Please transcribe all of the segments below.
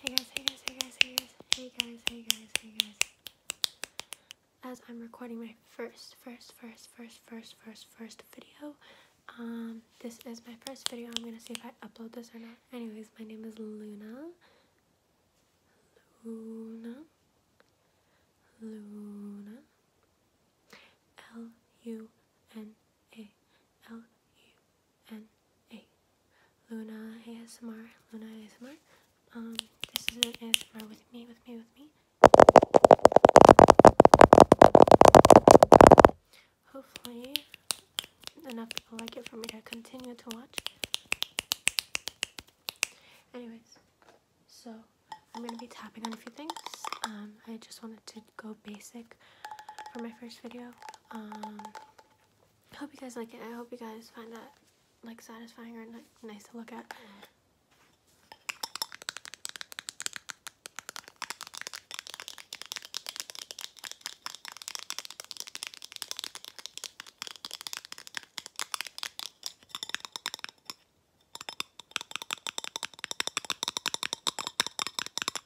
Hey guys, hey guys, hey guys, hey guys, hey guys, hey guys, hey guys. As I'm recording my first, first, first, first, first, first, first video, um, this is my first video. I'm gonna see if I upload this or not. Anyways, my name is Luna. Luna. Luna. L U N a L U N A. Luna ASMR. Luna ASMR. Um, this is an ASMR with me, with me, with me. Hopefully, enough people like it for me to continue to watch. Anyways, so I'm gonna be tapping on a few things. Um, I just wanted to go basic for my first video. Um, I hope you guys like it. I hope you guys find that like satisfying or nice to look at.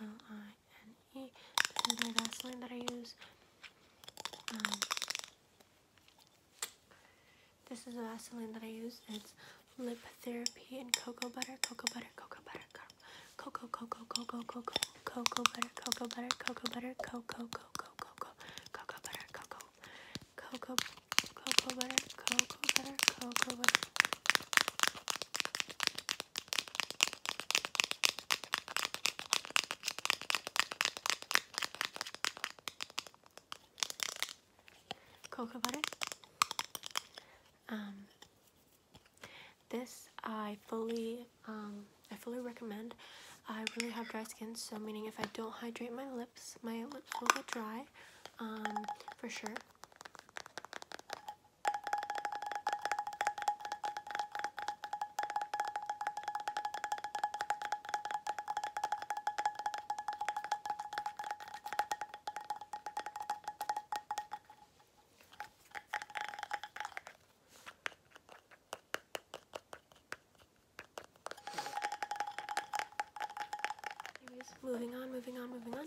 L-I-N-E. This is my Vaseline that I use. Um, this is the Vaseline that I use. It's Lip Therapy and Cocoa Butter, Cocoa Butter, Cocoa Butter, Cocoa, Cocoa, Cocoa, Cocoa, Cocoa Butter, Cocoa Butter, Cocoa Butter, Cocoa, Cocoa, Cocoa, Cocoa Butter, Cocoa, Cocoa, Cocoa Butter, Cocoa Butter, Cocoa Butter. Cocoa butter. Um, this I fully, um, I fully recommend. I really have dry skin, so meaning if I don't hydrate my lips, my lips will get dry, um, for sure. Anyways, moving on, moving on, moving on.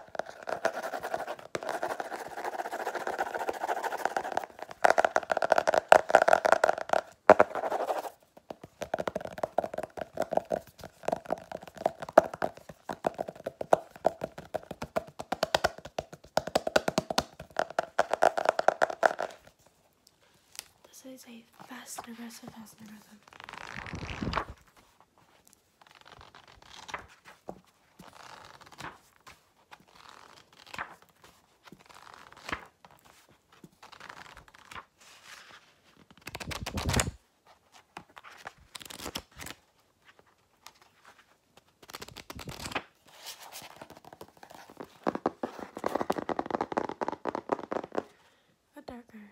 This is a fast and aggressive, fast and aggressive. A darker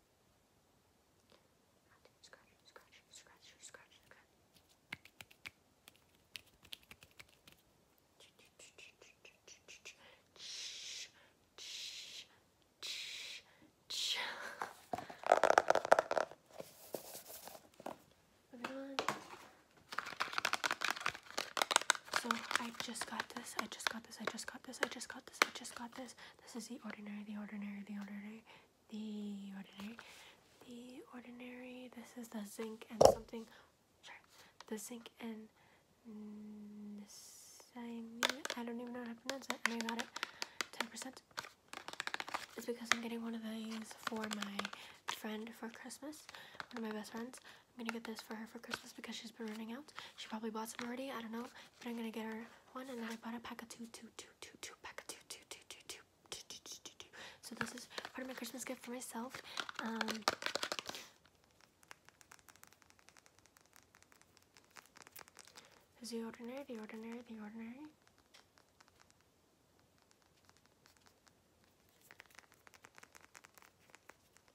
Scratch, scratch, scratch, scratch, scratch. Moving on. So I just got this. I just this, I just got this, I just got this, I just got this. This is the ordinary, the ordinary, the ordinary, the ordinary, the ordinary. This is the zinc and something, the zinc and I don't even know how to pronounce it, and I got it 10%. It's because I'm getting one of these for my friend for Christmas, one of my best friends, I'm gonna get this for her for Christmas because she's been running out. She probably bought some already, I don't know. But I'm gonna get her one and then I bought a pack of two, two, two, two, two, pack of two, two, two, two, two, two, two, two, two, two. So this is part of my Christmas gift for myself. Um, is the ordinary, the ordinary, the ordinary.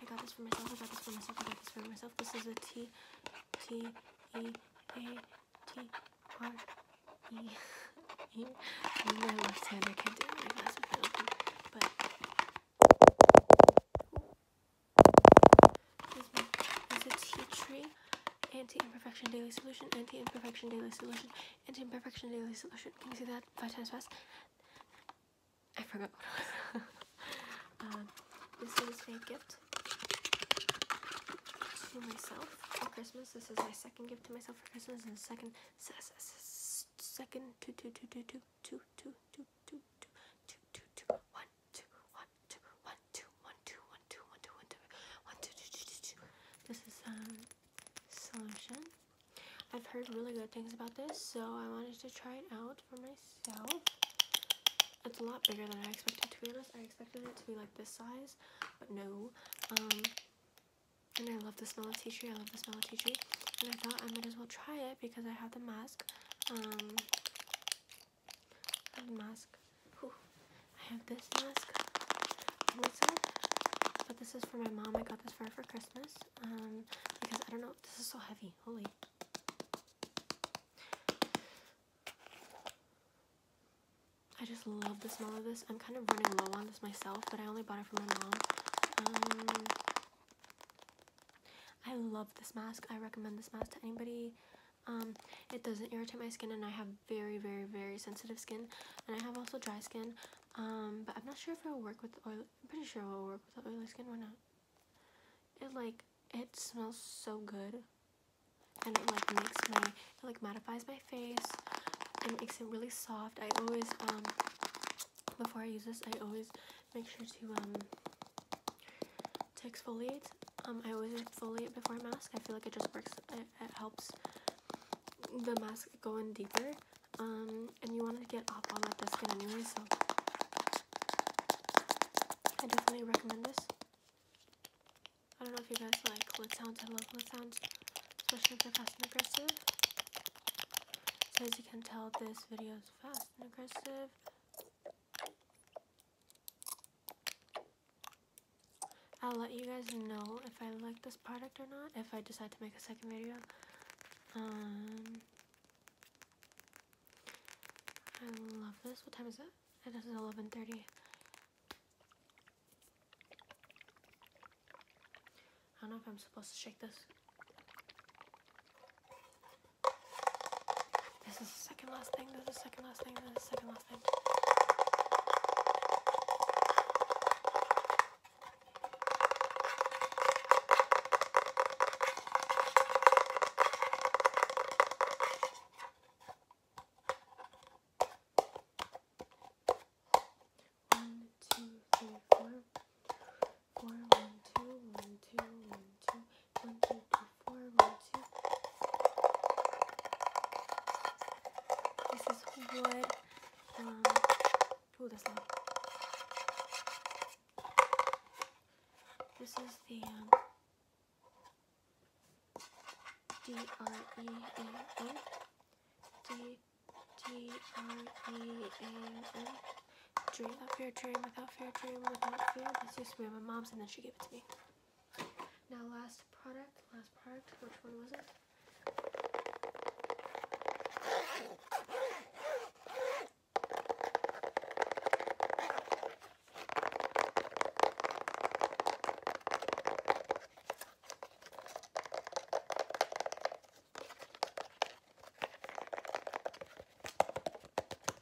I got this for myself, I got this for myself, I got this for myself. This is a T T E A my left hand, I can't do it with my But this is a tree anti-imperfection daily solution, anti-imperfection daily solution, anti-imperfection daily solution. Can you see that five times fast? I forgot what um, This is a gift to myself for Christmas. This is my second gift to myself for Christmas and second second two two two two two two two two two two two two two two one two, one, two, one, two, one, two, one, two, one, two, one, two, one, two, two, two, two, two. This is um solution. I've heard really good things about this, so I wanted to try it out for myself. It's a lot bigger than I expected to be honest. I expected it to be like this size, but no. Um, and I love the smell of tea tree. I love the smell of tea tree. And I thought I might as well try it because I have the mask. Um, mask. I have this mask. Listen, but this is for my mom. I got this for her for Christmas. Um, because I don't know. This is so heavy. Holy. I just love the smell of this. I'm kind of running low on this myself, but I only bought it for my mom. Um, I love this mask. I recommend this mask to anybody um, it doesn't irritate my skin and I have very very very sensitive skin and I have also dry skin um, but I'm not sure if it'll work with oil I'm pretty sure it'll work with oily skin or not it like it smells so good and it like makes my like mattifies my face and makes it really soft I always um before I use this I always make sure to um to exfoliate. Um, I always exfoliate before a mask. I feel like it just works. It, helps the mask go in deeper. Um, and you want to get off all that dead anyway, so I definitely recommend this. I don't know if you guys like what sounds. I love what sounds, especially if they're fast and aggressive. So as you can tell, this video is fast and aggressive. I'll let you guys know if I like this product or not, if I decide to make a second video. Um, I love this. What time is it? It is 11.30. I don't know if I'm supposed to shake this. This is the second last thing, this is the second last thing, this is the second last thing. One, two, three, four four, one, two, one, two, one, two, one, two, three, four, one, two. This is wood. Um, oh, that's This is the um, Dream without fear, dream without fear, dream without fear. This used to be my mom's and then she gave it to me. Now last product, last product, which one was it?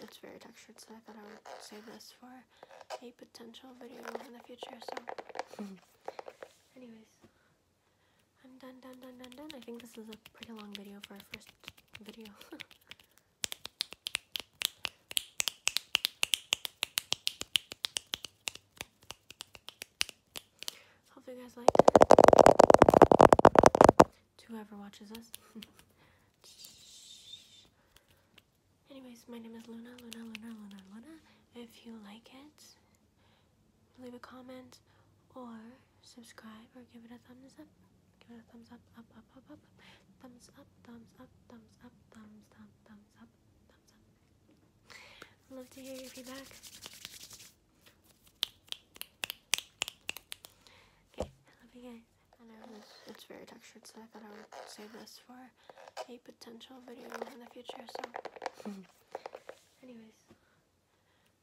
it's very textured, so I thought I would save this for a potential video in the future. So anyways I'm done done done done done I think this is a pretty long video for our first video hope you guys liked to whoever watches us Anyways, my name is Luna, Luna, Luna, Luna, Luna. If you like it, leave a comment or subscribe or give it a thumbs up. Give it a thumbs up, up, up, up, up. Thumbs up, thumbs up, thumbs up, thumbs up, thumbs up, thumbs up. I'd love to hear your feedback. Okay, I love you guys. I know it's, it's very textured, so I thought I would save this for a potential video in the future. So, anyways,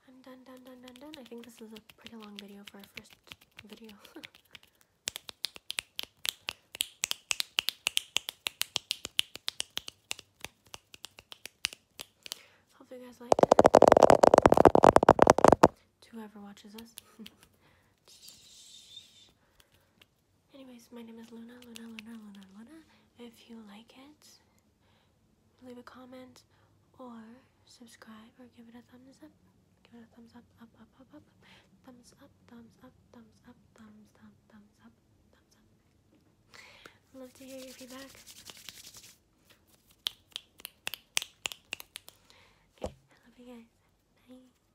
I'm done, done, done, done, done. I think this is a pretty long video for our first video. Hope you guys liked whoever watches this. Anyways, my name is Luna, Luna, Luna, Luna, Luna. If you like it, leave a comment or subscribe or give it a thumbs up. Give it a thumbs up, up, up, up, up. Thumbs up, thumbs up, thumbs up, thumbs up, thumbs up, thumbs up. I'd love to hear your feedback. Okay, I love you guys. Bye.